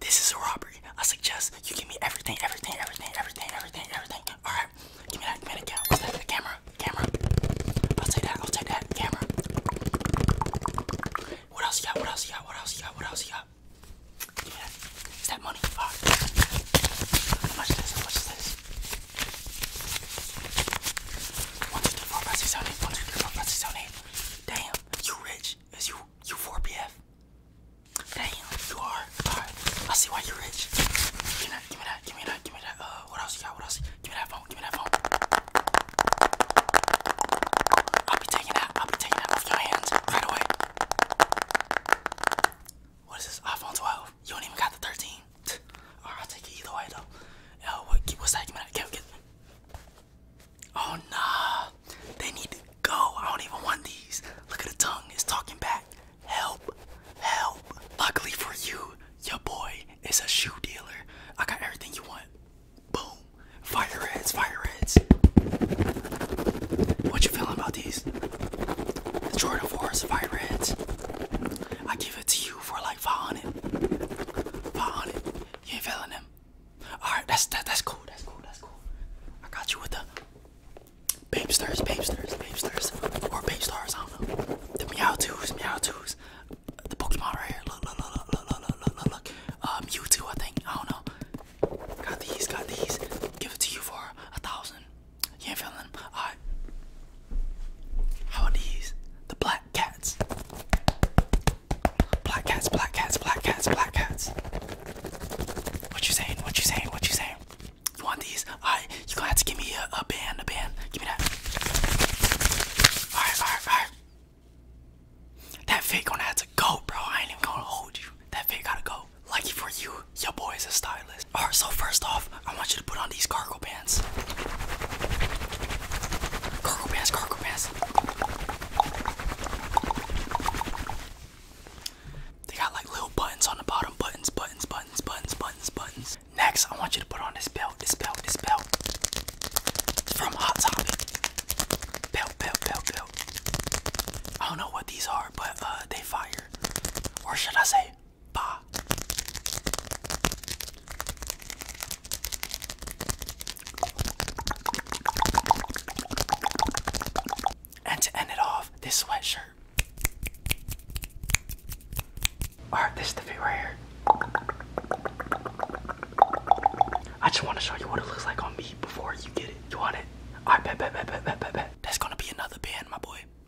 This is a robbery. I suggest you give me everything, everything, everything, everything, everything, everything. All right, give me that, give me that camera. What's that? The camera, camera. I'll take that. I'll take that camera. What else you got? What else you got? What else you got? What else you got? Give me that. Is that money? All right. How much is this? How much is this? One, two, three, four, five, six, seven, eight. One, two, three, four, five, six, seven, eight. Damn, you rich. Is you you 4BF? Dang, you are. I see why you're rich. Give me that, give me that, give me that, give me that. Uh, what else you got? What else? Give me that phone, give me that phone. I'll be taking that, I'll be taking that off your hands right away. What is this? iPhone 12. You don't even got the 13. Alright, I'll take it either way though. Yo, what's that? Give me that. Give, give. Oh no! they need to go. I don't even want these. Look at the tongue, it's talking back. Help, help. Luckily for you, your boy is a shoe dealer. I got everything you want. Boom. Fire heads, fire heads. What you feeling about these? The Jordan 4's fire heads. I give it to you for like 500. 500. You ain't feeling them. All right, that's that, that's cool. That's cool. That's cool. I got you with the babesters, babesters, babesters, or babestars. I don't know. The meow twos, meow twos. The Pokemon right here. Look, look, look, look, look, look, look, look. Um, Mewtwo, I think. I don't know. Got these, got these. Give it to you for a thousand. You ain't feeling them. All right. How about these? The black cats. Black cats, black cats, black cats, black cats. What you saying? What you saying? What you saying? You want these? Alright, you gonna have to give me a, a band, a band. Give me that. Alright, alright, alright. That fake gonna have to go, bro. I ain't even gonna hold you. That fake gotta go. Lucky for you, your boy is a stylist. Alright, so first off, I want you to put on these car cargo pants. Cargo pants, cargo pants. They got like little buttons on the bottom. Buttons, buttons, buttons, buttons, buttons, Next, I want you to put on this belt, this belt, this belt. From Hot Topic. Belt, belt, belt, belt. I don't know what these are, but uh, they fire. Or should I say, and to end it off, this sweatshirt. Alright, this the fit I just want to show you what it looks like on me before you get it. You want it? Alright, bet, bet, bet, bet, bet, bet, bet. That's gonna be another band, my boy.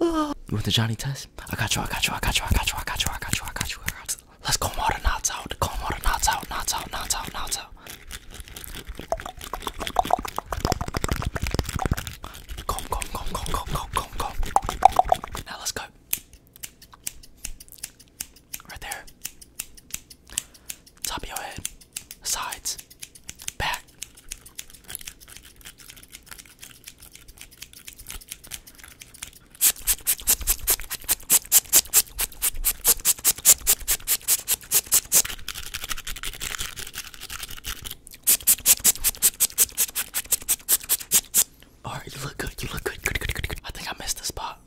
you want the Johnny test? I got you, I got you, I got you, I got you, I got you, I got you, I got you, Let's comb all knots out, comb all knots out, knots out, knots out, knots out. Comb, comb, comb, comb, comb, comb, comb, comb. Now let's go. Right there. Top of your head. Sides. Back. All right, you look good. You look good. Good, good, good, I think I missed the spot.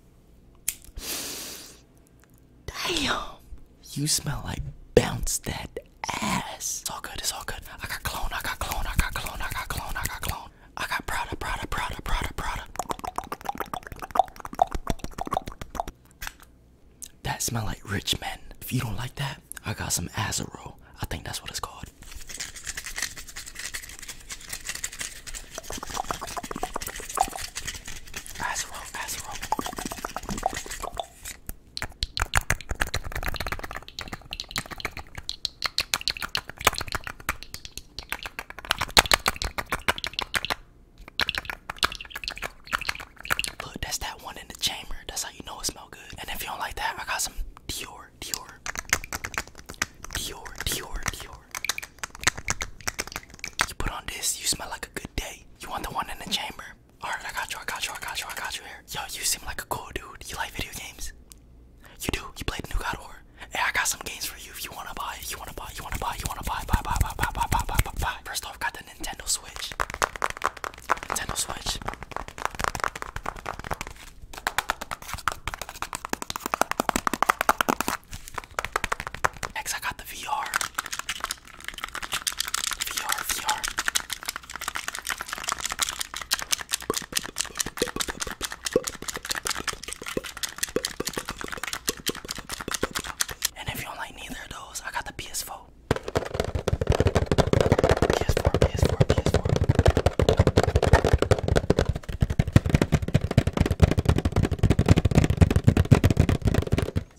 Damn, you smell like bounce that it's all good, it's all good. I got clone, I got clone, I got clone, I got clone, I got clone. I got Prada, Prada, Prada, Prada, Prada. That smell like rich men. If you don't like that, I got some Azaro. I think that's what it's called. Azaro, Azaro. Look, that's that one in the chamber. That's how you know it smells good. And if you don't like that, I got some Dior, Dior, Dior, Dior, Dior. You put on this, you smell like a good day. You want the one in the chamber? Alright, I got you, I got you, I got you, I got you here. Yo, you seem like a cool dude. You like video games? You do. You played New God War. Hey, I got some games for you if you wanna buy, if you wanna buy, you wanna buy, you wanna buy, buy, buy, buy, buy, buy, buy, buy, buy, buy. First off, got the Nintendo Switch. Nintendo Switch. Next, I got the VR. VR, VR. And if you don't like neither those, I got the PS4. PS4, PS4, PS4.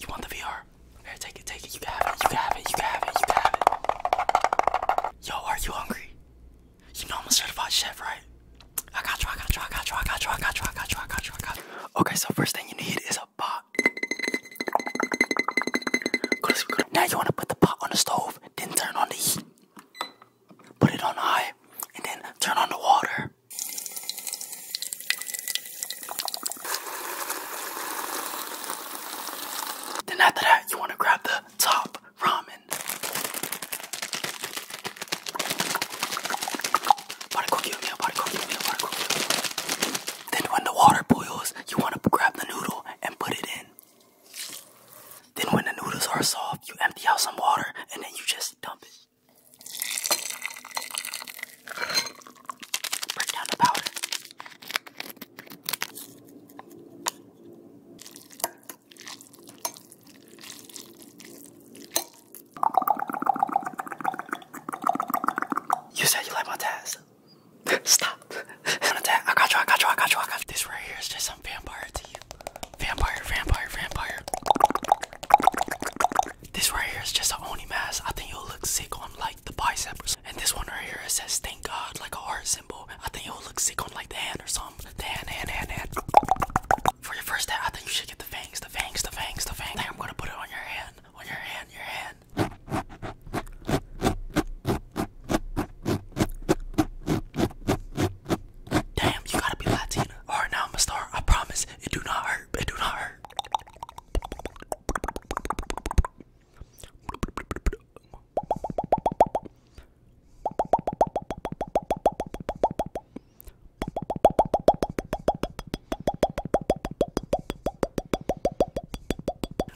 You want the VR? take it, take it. You can it. You can it. You can it. You can it. Yo, are you hungry? You know I'm a certified chef, right? Okay, so first thing you need is a pot. Now you want to put the pot on the stove, then turn on the heat. Put it on high, and then turn on the water. Then after that, you want to grab the top ramen. Then when the water boils, you want to grab the noodle and put it in. Then when the noodles are soft, you empty out some water and then you just dump it. Bring down the powder. You said you like my tats. Stop. I'm I got you, I got you, I got you, I got you. This right here is just some vampire to you. Vampire, vampire, vampire. This right here is just an Oni mask. I think it'll look sick on like the biceps. And this one right here, it says thank God, like a heart symbol. I think it'll look sick on like the hand or something. The hand, hand, hand, hand. For your first day, I think you should get the fangs, the fangs, the fangs, the fangs. I I'm gonna put it on your hand, on your hand, your hand. Damn, you gotta be Latina. Alright, now I'm gonna I promise it do not hurt. It do not hurt.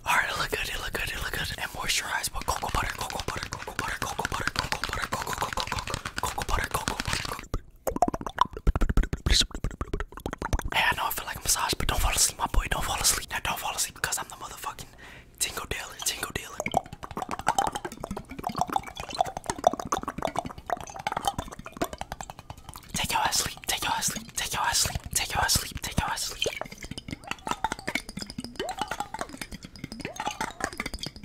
Alright, it look good, it look good, it look good. And moisturize with cocoa butter, cocoa butter, cocoa butter, cocoa butter, cocoa butter, cocoa butter, Hey, I know I feel like a massage, but don't fall asleep, my boy. Don't fall asleep. Now don't fall asleep because I'm the motherfucking tingle dealer, tingle dealer. Take your ass sleep, take your ass sleep, take your ass sleep, take your ass sleep, take your ass sleep.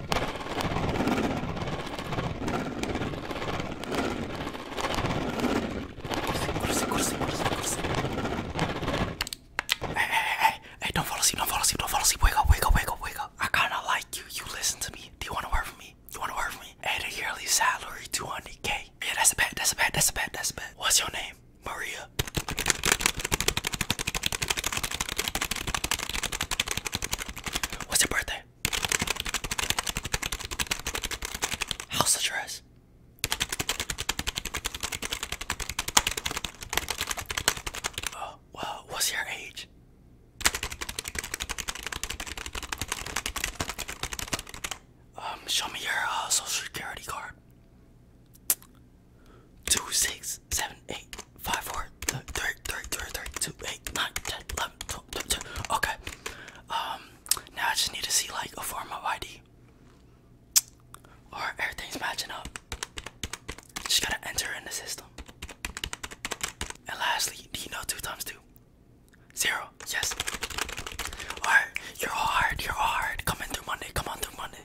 Hey, hey, hey, hey, don't fall asleep, don't fall asleep, don't fall asleep. Wake up, wake up, wake up, I kinda like you. You listen to me. Do you wanna work for me? You wanna work for me? Hey, the yearly salary, 200k. Yeah, that's a bet, that's a bet, that's a bet, that's a bet. What's your name? Maria. What's your birthday? How's the dress? Oh, well, what's your age? Um, show me your uh, social security card two, six, seven, eight, five, four, three, three, three, three, two, eight, nine, ten, eleven, twelve, thirteen. Okay. Um. Now I just need to see like a form of ID. Or everything's matching up. Just gotta enter in the system. And lastly, do you know two times two? Zero. Yes. Alright, you're all hard, you're all hard. Come in through Monday, come on through Monday.